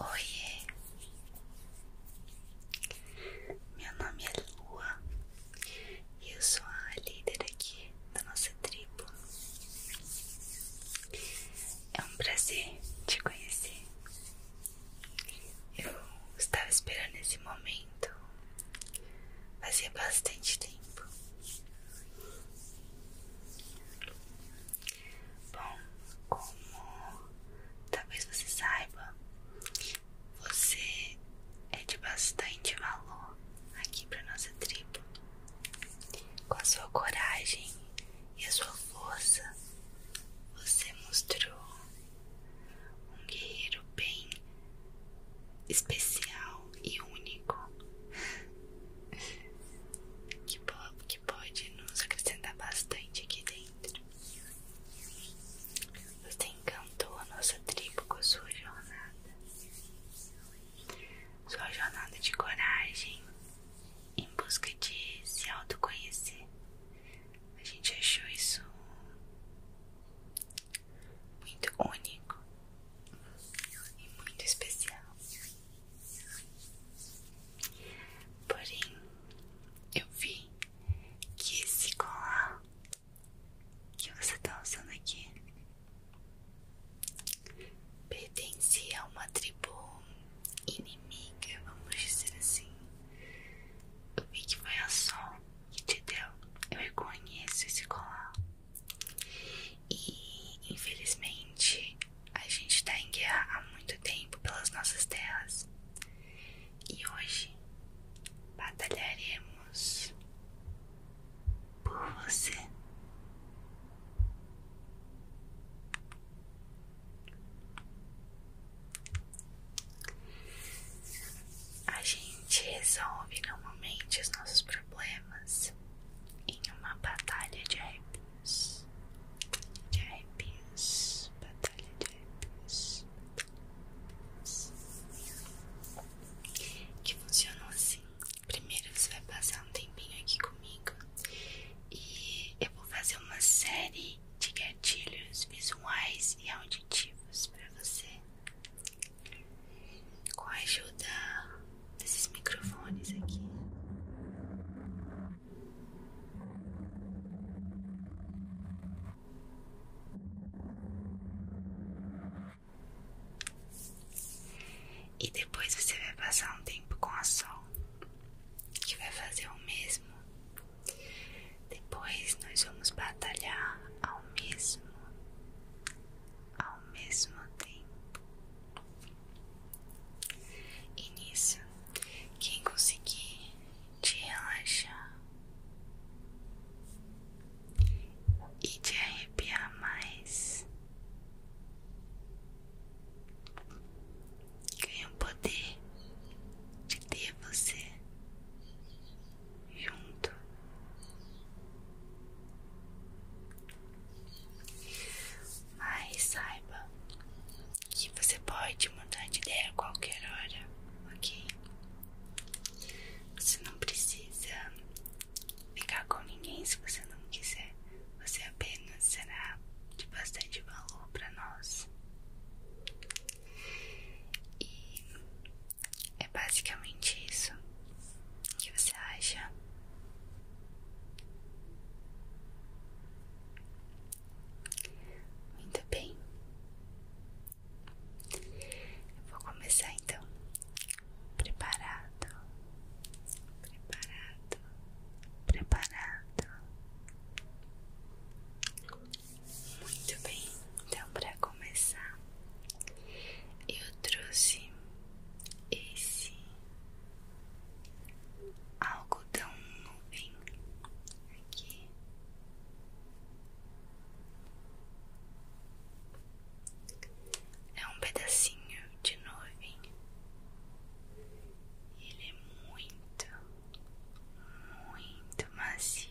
Oiê, meu nome é Lua e eu sou a líder aqui da nossa tribo. É um prazer te conhecer. Eu estava esperando esse momento há bastante tempo. Bom, como talvez você saiba, você é de bastante valor aqui para nossa tribo. Com a sua coragem e a sua força, você mostrou um guerreiro bem especial e único que, pode nos acrescentar bastante aqui dentro. Você encantou a nossa tribo com sua jornada, sua jornada de coragem em busca de se autoconhecer. A gente achou isso muito único e muito especial. Porém, eu vi que esse colar que você tá usando aqui pertencia a uma tribo inimiga, vamos dizer assim. Eu vi que foi a Sol que te deu. Eu reconheço esse colar. E infelizmente a gente está em guerra há muito tempo pelas nossas terras e hoje batalharemos por você. A gente resolve normalmente os nossos problemas em uma batalha de rap arpias, de arpias, batalha de arpias, que funcionou assim. Primeiro você vai passar um tempinho aqui comigo e eu vou fazer uma série de gatilhos visuais e auditivos para você, com a ajuda desses microfones aqui. E depois você vai passar um tempo com a sol, que vai fazer o mesmo. Depois nós vamos batalhar ao mesmo ao mesmo tempo. E nisso, quem conseguir te relaxar e te arrepiar mais, ganha o poder de ter você junto mas saiba que você pode mudar de ideia a qualquer hora, ok? Você não precisa ficar com ninguém se você não quiser. Você apenas será de bastante valor para nós. E é basicamente isso. O que você acha? Muito bem. vou começar então. Preparado. Preparado. Preparado. Muito bem. Então, para começar, eu trouxe esse algodão nuvem aqui é um pedacinho de nuvem ele é muito muito macio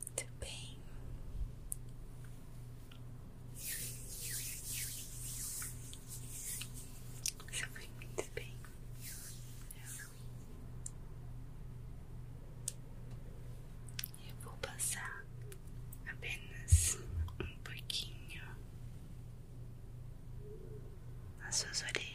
Muito bem. Você muito bem. Eu vou passar apenas um pouquinho nas suas orelhas.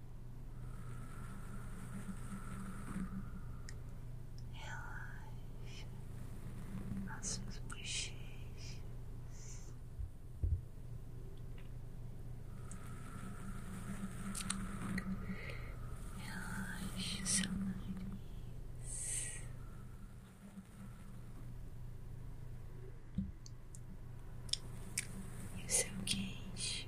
Relaxa as suas bochechas. Relaxa seu nariz. E o seu queixo.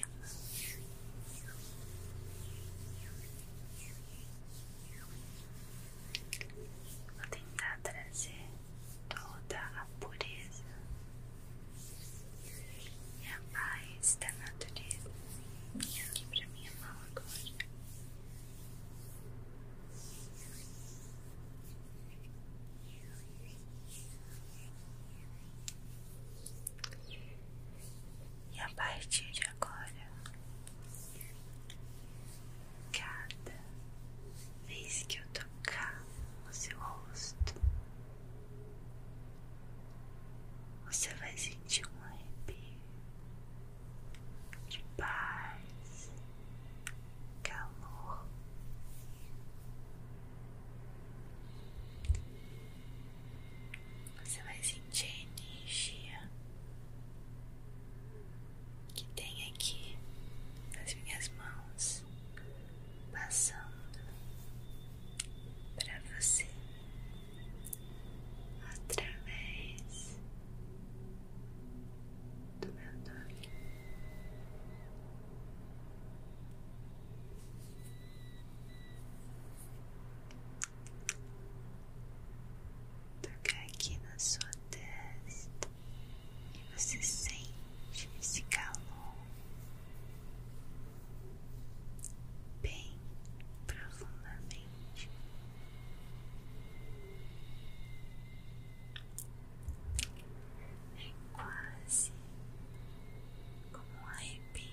Vou tentar trazer toda a pureza e a paz da natureza aqui para minha mão agora. E a partir de agora, cada vez que eu tocar o seu rosto, você vai sentir um arrepio de paz, calor. Você vai sentir a energia que tem aqui nas minhas mãos passando para você através do meu nome. Tocar aqui na sua testa e você sente esse calor bem profundamente. É quase como um arrepio.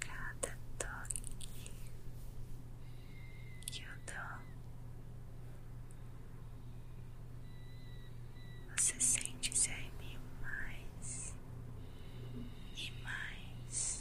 Cada toque que eu dou, você sente ser arrepio é mais e mais.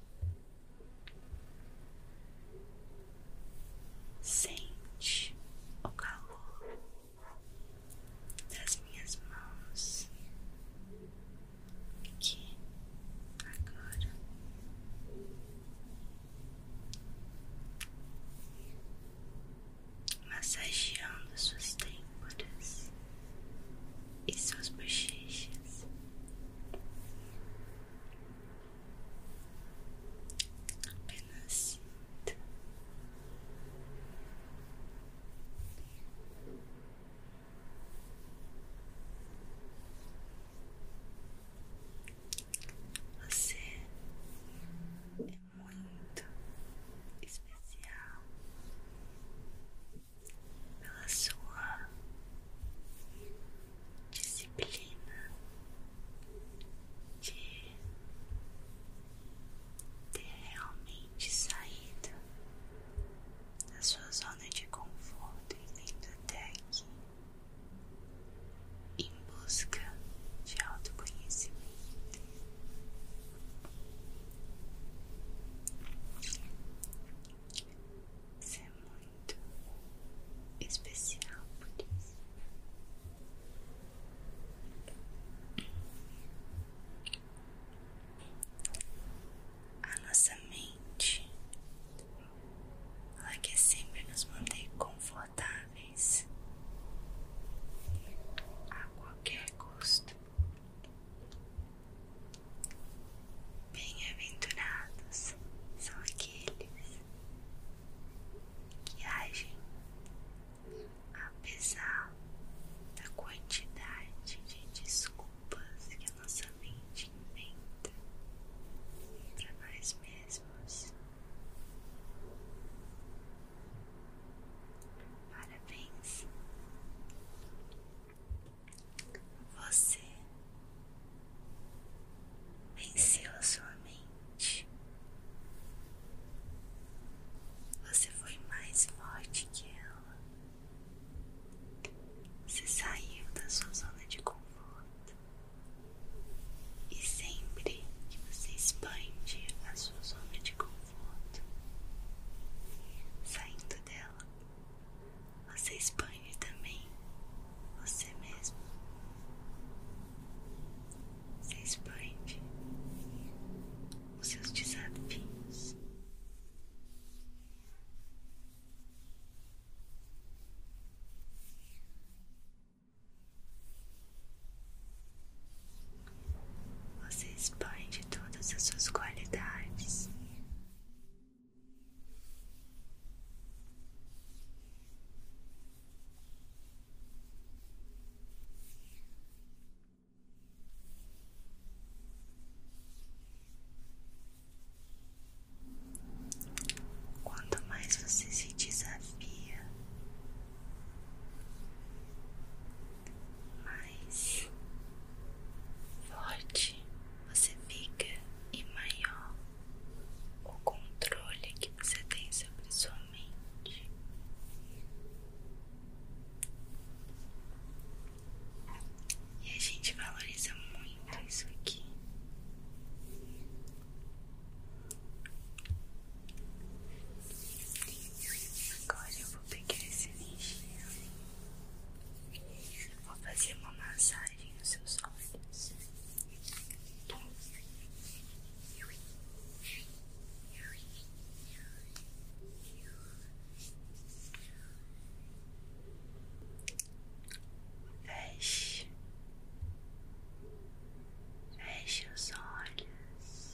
Sente o calor das minhas mãos aqui agora. Massageando suas têmporas e suas bochechas. Apenas sinta. Você é muito especial pela sua disciplina de ter realmente saído da sua zona de conforto e vindo até aqui em busca de autoconhecimento. Você é muito especial por isso. A nossa mente, ela que sempre nos manter confortáveis a qualquer custo. Bem-aventurados são aqueles que agem apesar da quantidade de desculpas que a nossa mente inventa para nós mesmos. Parabéns! Você venceu a sua mente. Você foi mais forte que ela. Você saiu da sua zona de conforto. E sempre que você expande a sua zona de conforto, saindo dela, você é expande também você mesmo. Você expande os seus desafios. Você expande todas as suas qualidades, Quanto mais você se desafia, mais forte você fica e maior o controle que você tem sobre sua mente. E a gente valoriza muito isso aqui. Agora eu vou pegar esse lixinho Vou fazer uma massagem nos seus olhos. Feche, feche os olhos.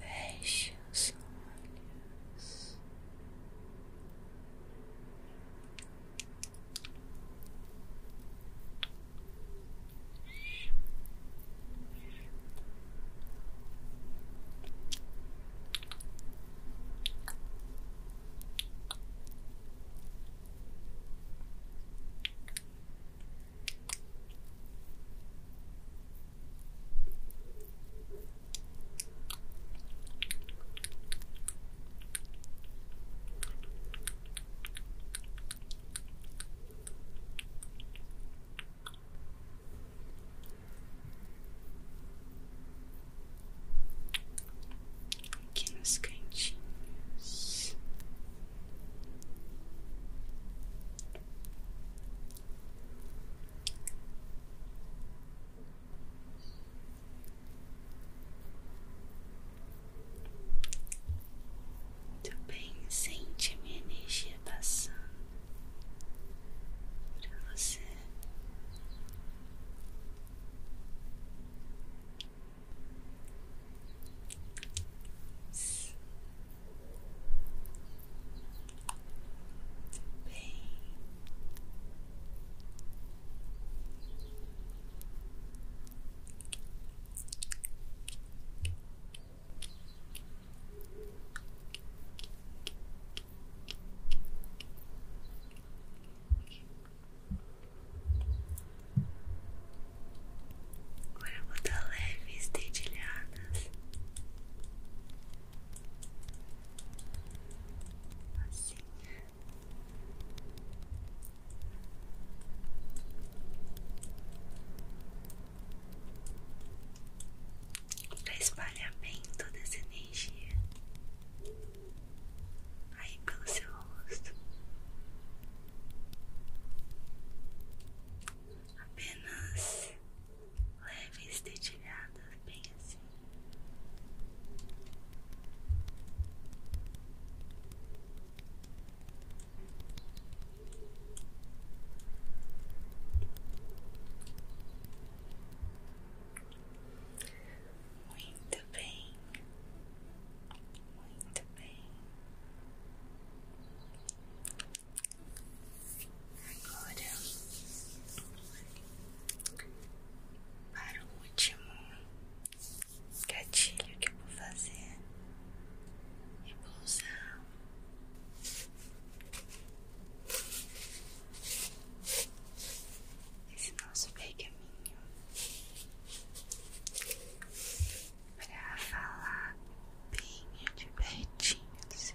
Feche os olhos. Aqui nos cantinhos. Muito bem, sente minha energia passando para você. Bem. Agora eu vou dar leve estedilhada apenas assim. Para espalhamento dessa energia aí pelo seu rosto, apenas Leve dedilhadas, bem assim. Muito bem, muito bem. Agora, para o último gatilho que vou fazer, eu é vou esse nosso pergaminho pra falar bem de pertinho do seu